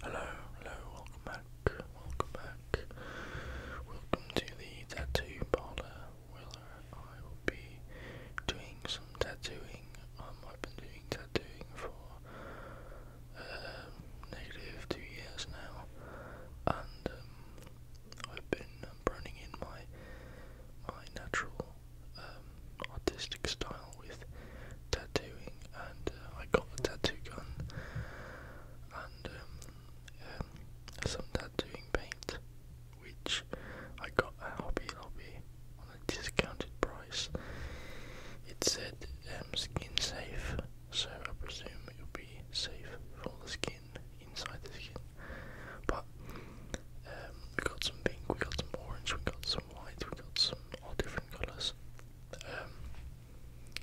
Hello, hello, welcome back, welcome back. Welcome to the tattoo parlor where I will be doing some tattooing. Um, I've been doing tattooing for uh, negative two years now, and um, I've been um, in my my natural um, artistic style with tattooing, and uh, I got a tattoo gun and um, um, some tattooing paint, which I got a Hobby hobby on a discounted price. It said um, skin safe, so I presume it will be safe for the skin, inside the skin. But um, we got some pink, we got some orange, we got some white, we got some all different colours. Um,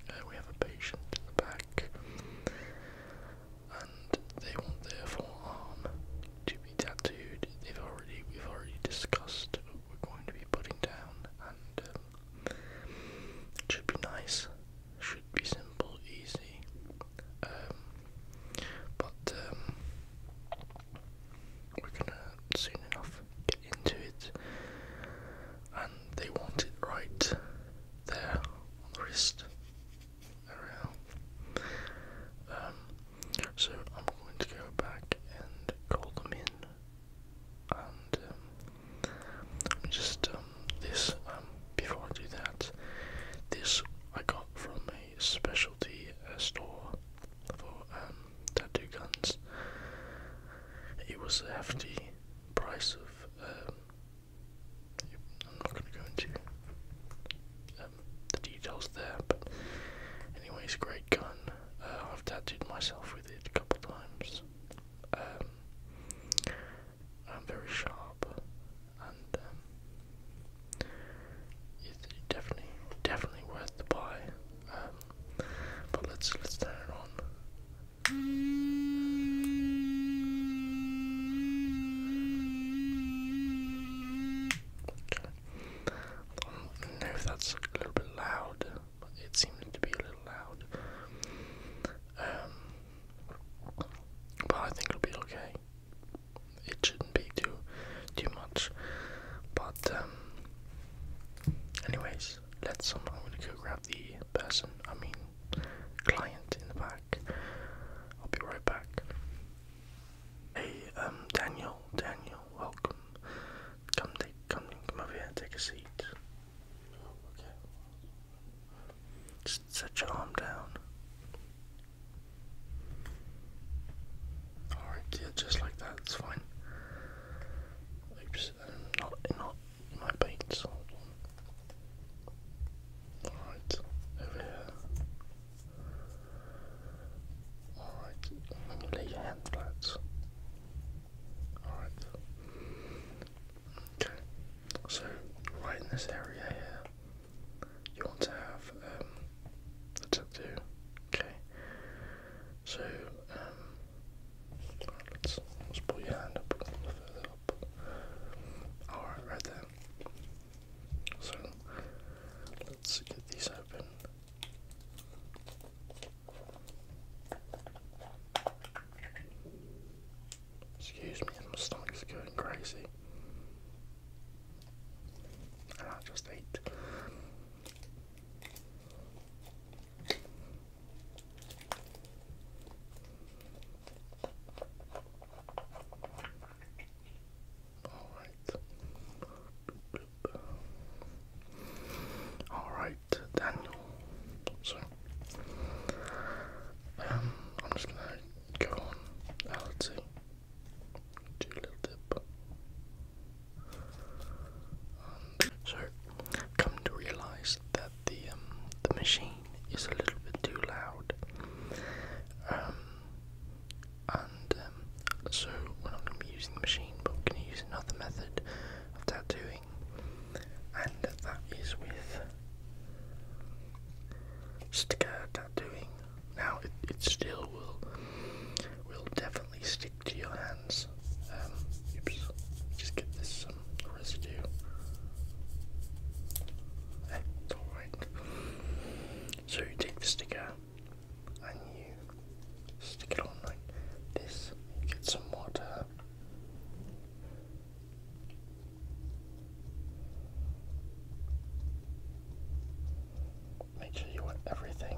uh, we have a patient in the back, and they want their forearm to be tattooed. They've already we've already discussed what we're going to be putting down, and um, it should be nice. Should be simple, easy. Um, but um, we're gonna soon enough get into it, and they want it right there on the wrist area. Um, so I'm going to go back and call them in, and um, just um, this. before I do that, this I got from a specialty uh, store for um, tattoo guns. It was a hefty price of. Um, I'm not going to go into um, the details there, but anyway, it's a great gun. Uh, I've tattooed myself with it a couple times. Um, I'm very sharp, and it's definitely, definitely worth the buy. But let's let's turn it on. Okay. I know that's a little bit loud, but it seems to be a little loud. Um, but I think it'll be okay. It shouldn't be too too much. But um, anyways, let's I'm gonna go grab the person, I mean client in the back. I'll be right back. Hey, um Daniel, Daniel, welcome. Come take come come over here, take a seat. Oh, okay. Just set your arm down. Alright, yeah, just like that, it's fine. Oops not not my paint Alright, over here. Alright, lay your hand flat. Alright. Okay, so right in this area here, you want to have the um, tattoo, okay? So, um, let's, let your hand up Alright, right there. So, let's get these open. Excuse me, my stomach's going crazy. And I just ate. All right. All right, Daniel. So, um, I'm just gonna go on. I'll do a little dip so, come to realize that the um, the machine is a little bit too loud, um, and um, so we're not going to be using the machine, but we're going to use another method of tattooing, and that is with sticker tattooing. Now, it, it still will will definitely steal to your hands. Um, oops, just give this some um, residue. That's alright. So you take the sticker and you stick it on like this. get some water. Make sure you want everything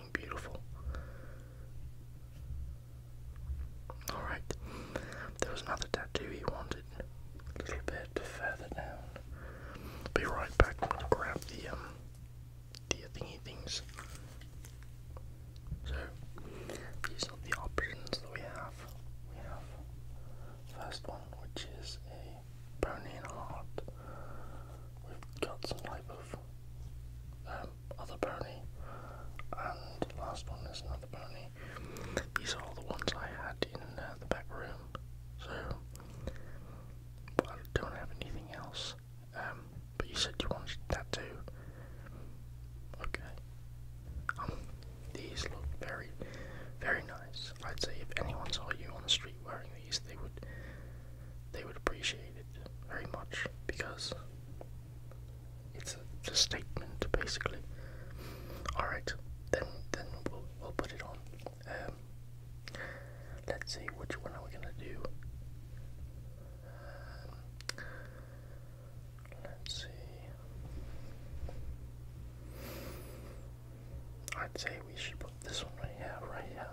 fucking beautiful. Alright, there was another tattoo he wanted, a little bit further down. Be right back, I'm gonna grab the, um, the thingy things. So, these are the options that we have. We have first one, which is a pony heart. We've got some type of um, other pony, and the last one is another pony. These are all the ones I had in uh, the back room, so I don't have anything else. Um, but you said you wanted that too. Okay. Um, these look very, very nice. I'd say if anyone saw you on the street wearing these, they would they would appreciate it very much because it's a, statement basically. All right, then then we'll we'll put it on. Um, let's see which one are we gonna do. let's see. I'd say we should put this one right here, right here.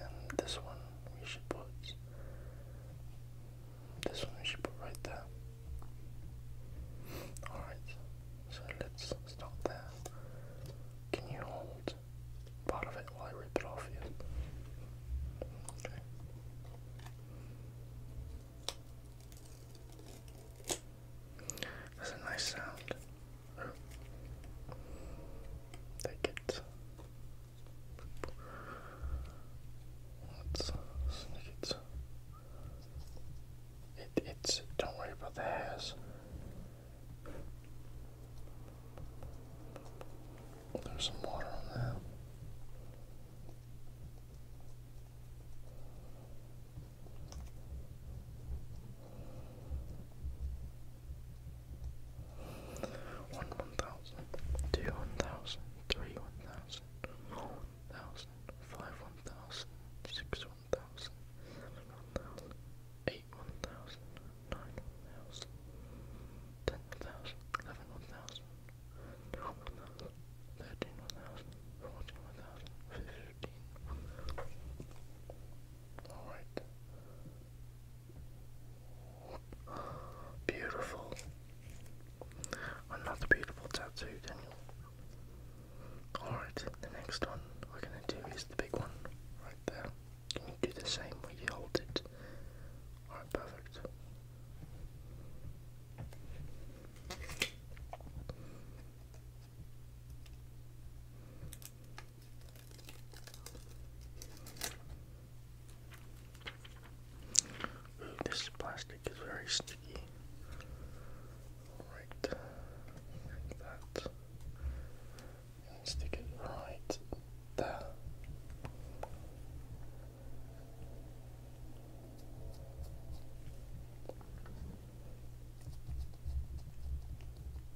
And this one we should put. This one we should put right there. Alright, so let's start there. Can you hold part of it while I rip it off you? Okay. That's a nice sound. Take it. Let's sneak it. It it's don't worry about the hairs. There's some water on there. One one thousand, two one thousand, three one thousand, four one thousand, five one thousand, six one thousand, seven one thousand, eight one thousand, nine one thousand, ten one thousand, eleven one thousand, twelve one thousand, thirteen one thousand, fourteen one thousand, fifteen one thousand. Alright. Beautiful. Another beautiful tattoo, Daniel. Alright, the next one we're gonna do is the big one right there. Can you do the same where you hold it? Alright, perfect this plastic is very sticky. Right, like that. stick it right there.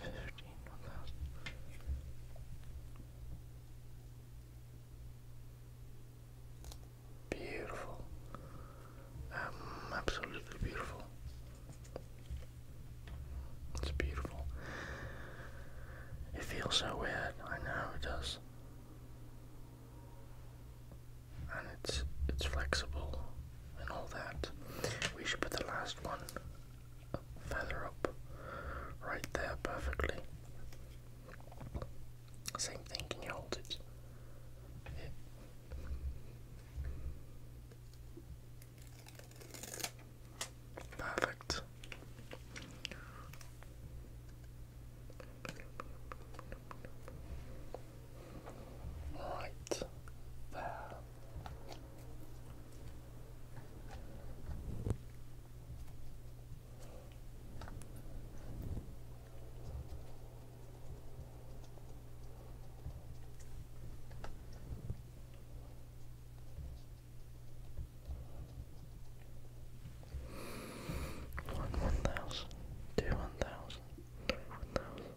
fifteen one thousand. Beautiful. Um, absolutely beautiful. It's beautiful. It feels so weird. I know it does. And it's it's flexible and all that. We should put the last one up, further up, right there perfectly. Same thing, can you hold it? Perfect right there. One one thousand, two one thousand, three one thousand,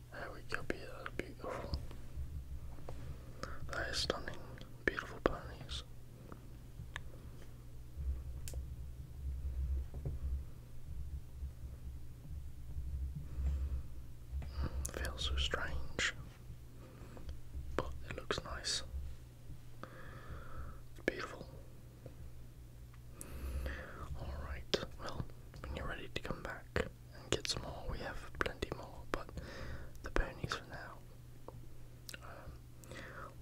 There we go, uh, beautiful. That is stunning. Beautiful ponies. Mm, feels so strange, but it looks nice. It's beautiful. Alright, well, when you're ready to come back, and get some more. We have plenty more, but the ponies for now. Um,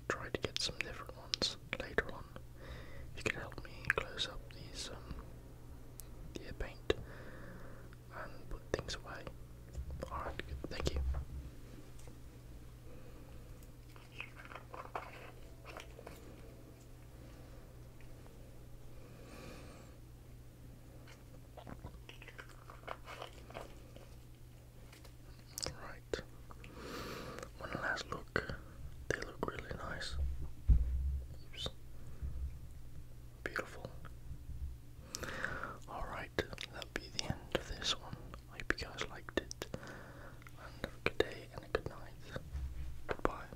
try to get some different ones later on. If you can help me close up these um, the paint and put things away. Alright, Thank you. Right. One last look. They look really nice. Beautiful. Alright, that'll be the end of this one. I hope you guys liked it. And a good day and a good night. Goodbye.